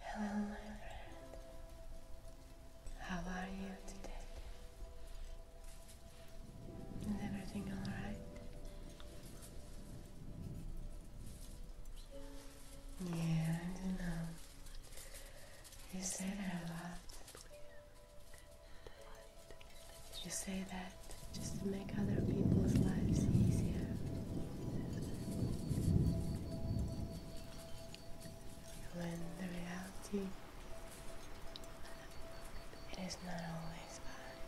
Hello, my friend. How are you today? Is everything alright? Yeah, I don't know. You say that a lot. You say that just to make other people's lives easier. When the reality it is not always bad.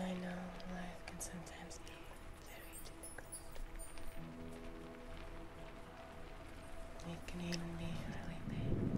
I know life can sometimes be very difficult. It can even be really painful.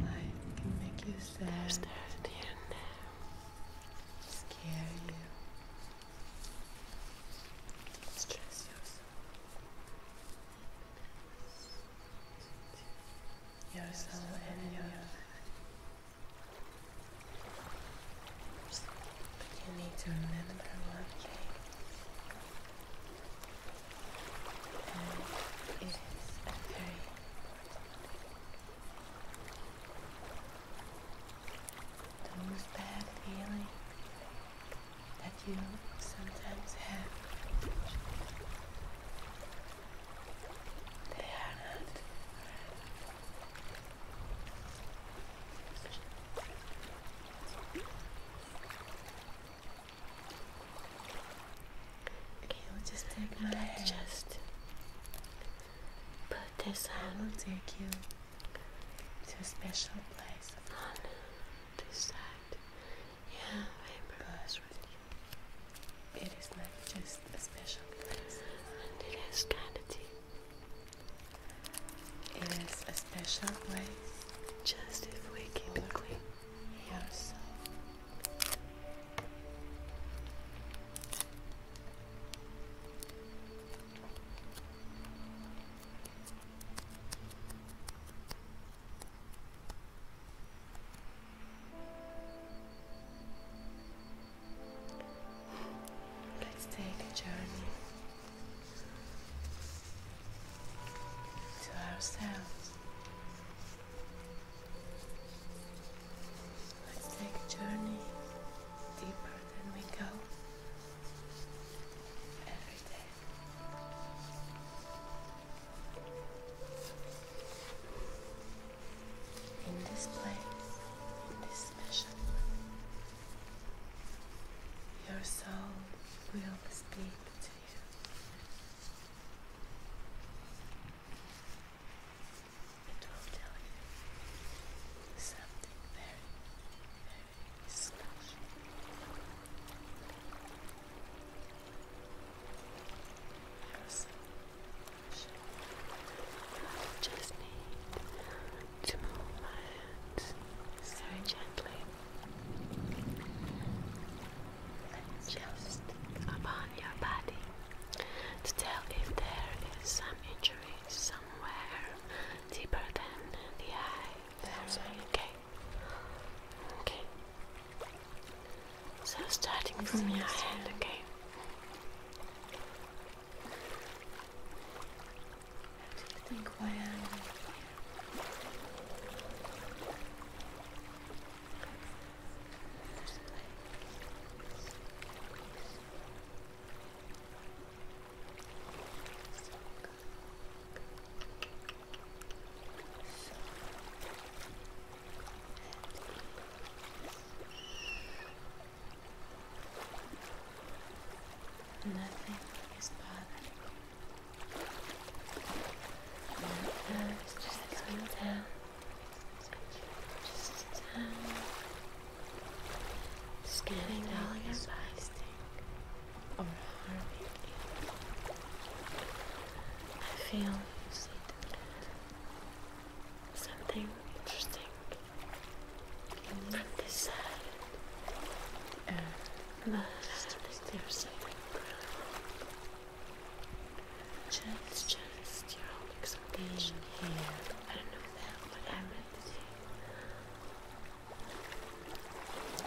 Life can make you sad, sad and scare you, stress yourself. Your soul and your life. But you need to remember one thing and it is a very those bad feeling that you sometimes have. They are not Okay, I'll just take my just put this on. I will take you to a special place on this side. Yeah, I brush It is not just a special place. And it is a special place. Just if we keep it Let's take a journey to ourselves. Let's take a journey deeper than we go every day. In this place, in this mission, your soul will speak to you. It will tell you something very, very special. I just need to move my hands very gently just upon your body to tell if there is some injury somewhere deeper than the eye. That's okay. Okay. So starting from your head, okay. think why Nothing is bothering you. And it's just going down, just down, scanning all your body or harming you. I feel something interesting from this side, uh, but I don't think there's anything just, just your whole exaltation here. I don't know that what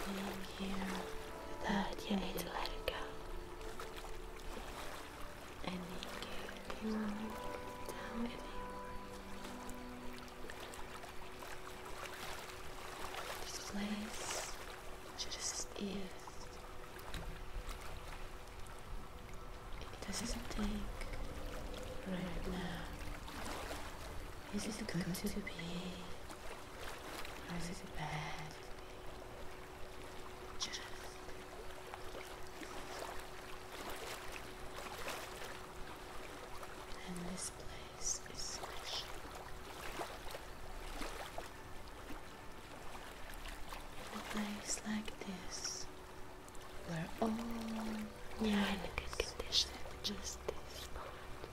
i to you. Being here, that you need to let it go. And you can't be down anymore. This place just is. It doesn't think right now. Is it good to be? is it bad to be? Just. And this place is special. A place like this, where all yeah, in a good condition, just this part.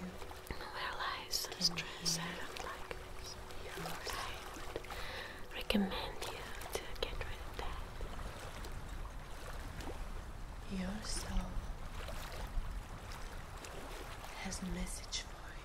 You where lies are stress out like this. I would recommend you to get rid of that. Your soul has a message for you.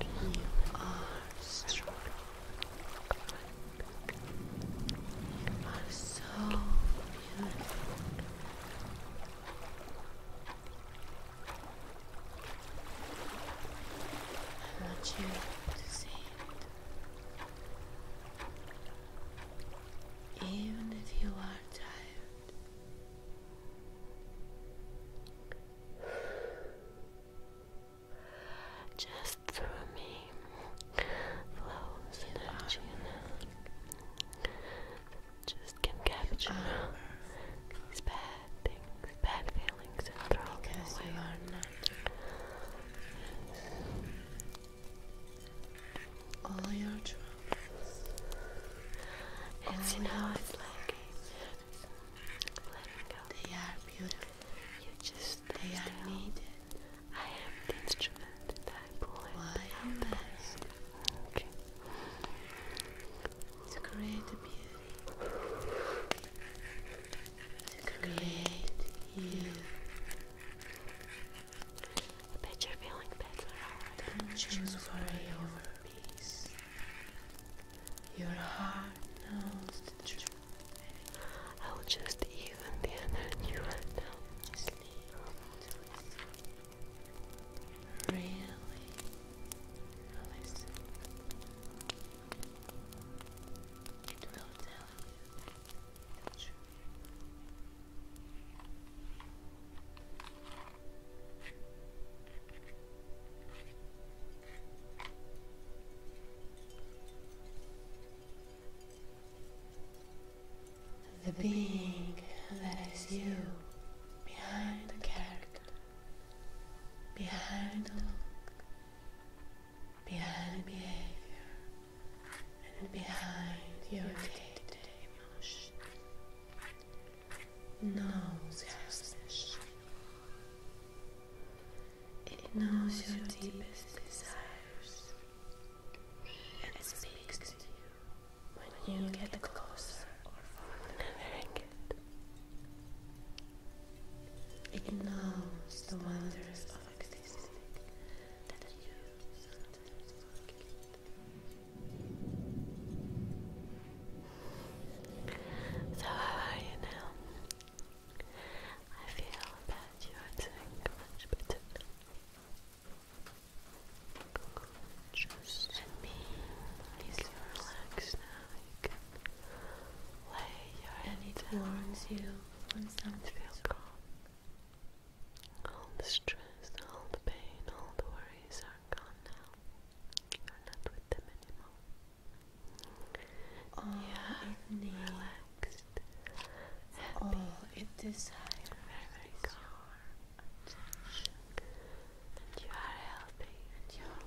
You are strong. You are so beautiful. I want you to see it. Even if you are tired, just through me flows energy and just can capture these bad things, bad feelings and throw away. All your troubles. It's you know it's like they are beautiful. You just they are needed. I have the instrument that I pull Why you best? To create beauty. To create you. I bet you're feeling better. Don't choose worry over peace. Your heart knows the truth. I will just even the energy right now. Sleep. Really It will tell you the truth. The being that is you behind the character, behind the look, behind behavior, and behind your day-to-day -day knows your special. It knows your deepest desires and speaks to you when you get closer or farther it. It knows the wonders of existing that you sometimes forget. So, how are you now? I feel that you are doing much better Just let me easily relax now. You can lay your head and it down. you Feel calm. All the stress, all the pain, all the worries are gone now. You're not with them anymore. All relaxed. Happy. All it very, very is you are healthy you're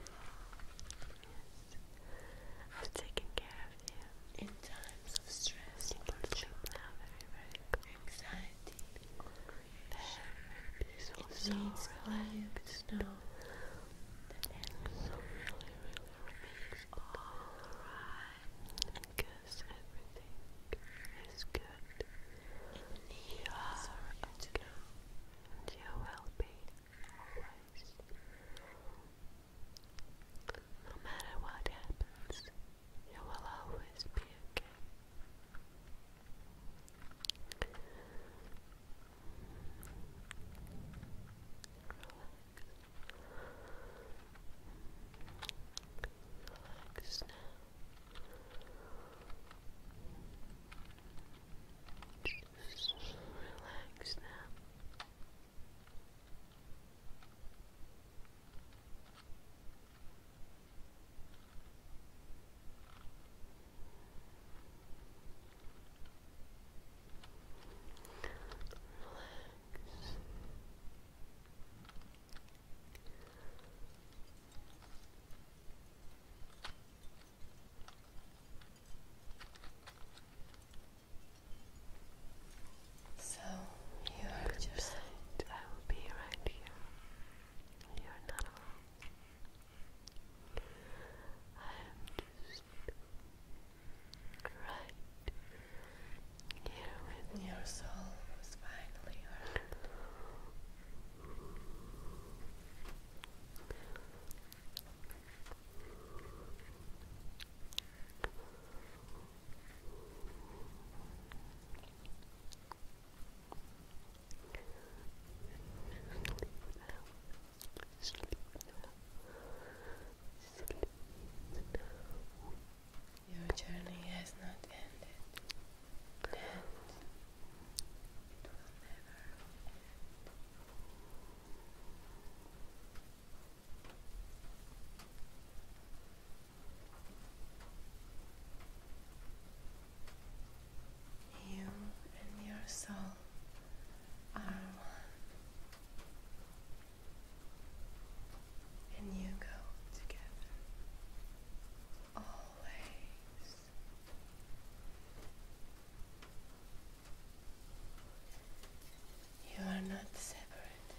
Yes. I've taken care of you. In times of stress, you can sleep now. Very, very good. Anxiety peaceful, it so means relaxed. You know everything is good. You are okay, and you will be always. No matter what happens, you will always be okay. Relax now. Just relax now. So you are just. I will be right here. You are not alone. I'm just right here with you. Your soul was finally heard. Your journey has not ended, and it will never end. You and your soul are one, and you go together always. You are not separated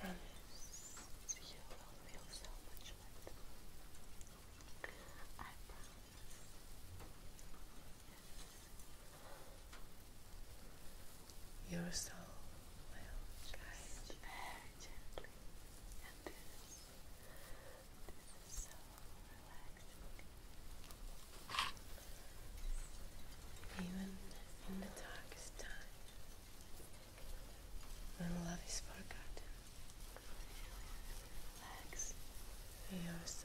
from this. You will feel so much lighter. I promise. Your soul will guide very gently, and this, this is so relaxing. Even in the darkest time, when love is forgotten, legs. They are so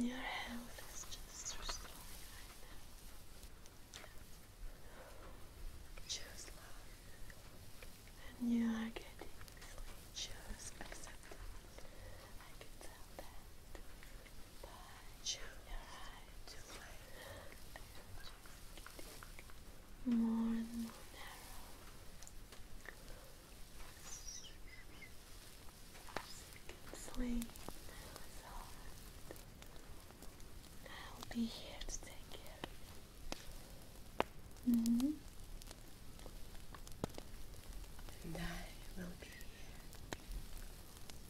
your health is just restored right Choose love. And you are getting sleep. Choose acceptance. I can that. But more and more narrow. you sleep I'll be here to take care of you. And I will be here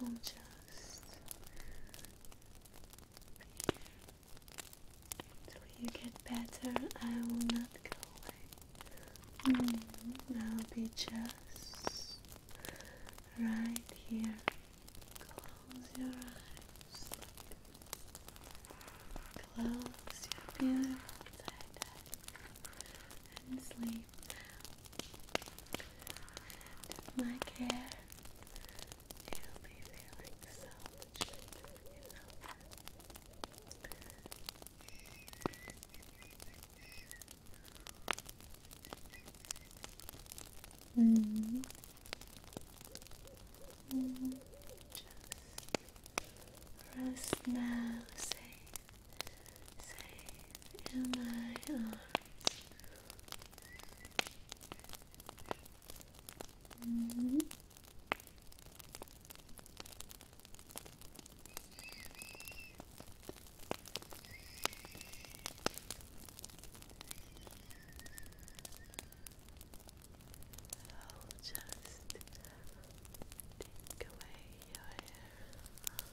We'll just until you get better, I will not go away. Mm, I'll be just right here. Close your eyes. Close your beautiful eyes and sleep my care, you'll be feeling so much better Just rest now, say safe in my arms. I'll just take away your just i take it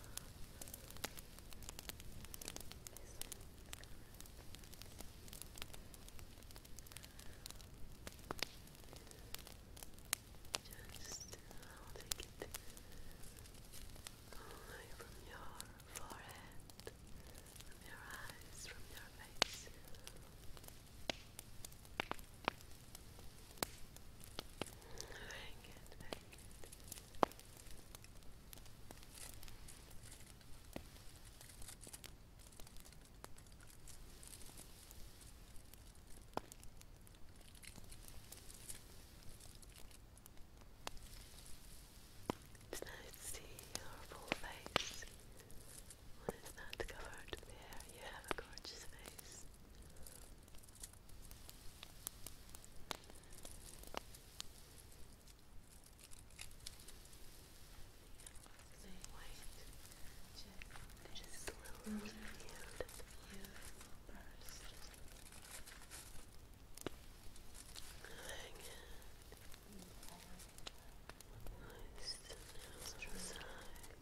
only from your forehead, from your eyes, from your face. Very good, very good. to see your full face when it's not covered with hair. You have a gorgeous face. So white, just, just slowly beautiful, beautiful burst. Nice to know the side. Mm.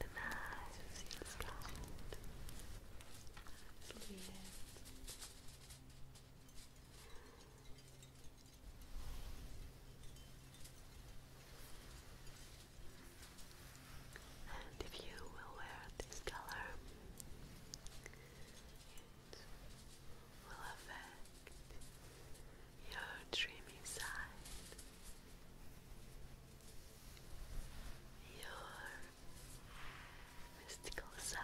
demais os cílios caindo, fluindo. And if you will wear this color, it will affect your dreamy side your mystical side.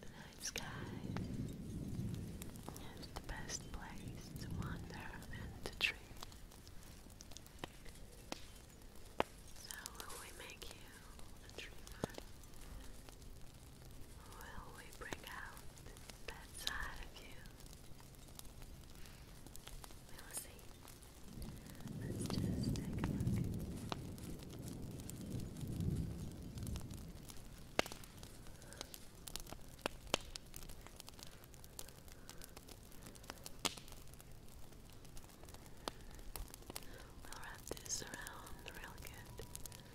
The night sky is the best place to wander and to dream. So will we make you a dreamer? Will we bring out that side of you? We'll see. Let's just take a look. We'll wrap this around real good.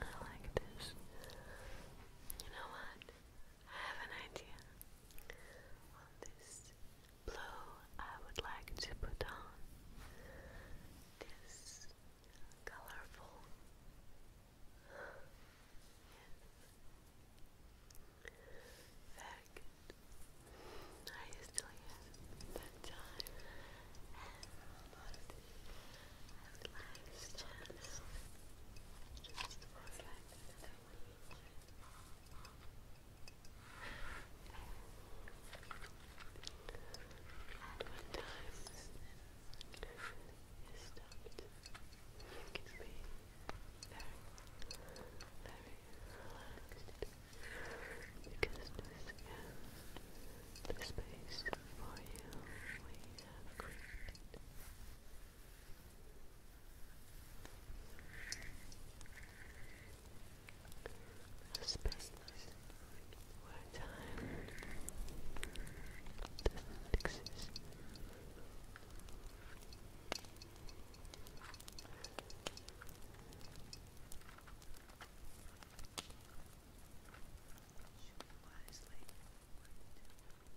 I like this. You know what? I have an idea. On this blue, I would like to put on this colorful. Yes. I used to that time relax, just relax. Just relax. And you can be very, very relaxed because this uh, the space for you we have created. A space where time doesn't exist. Choose wisely what to do. Now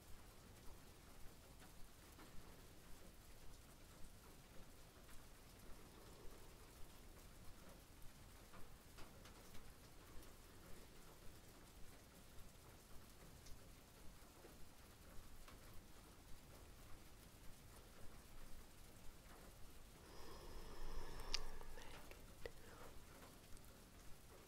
Back down.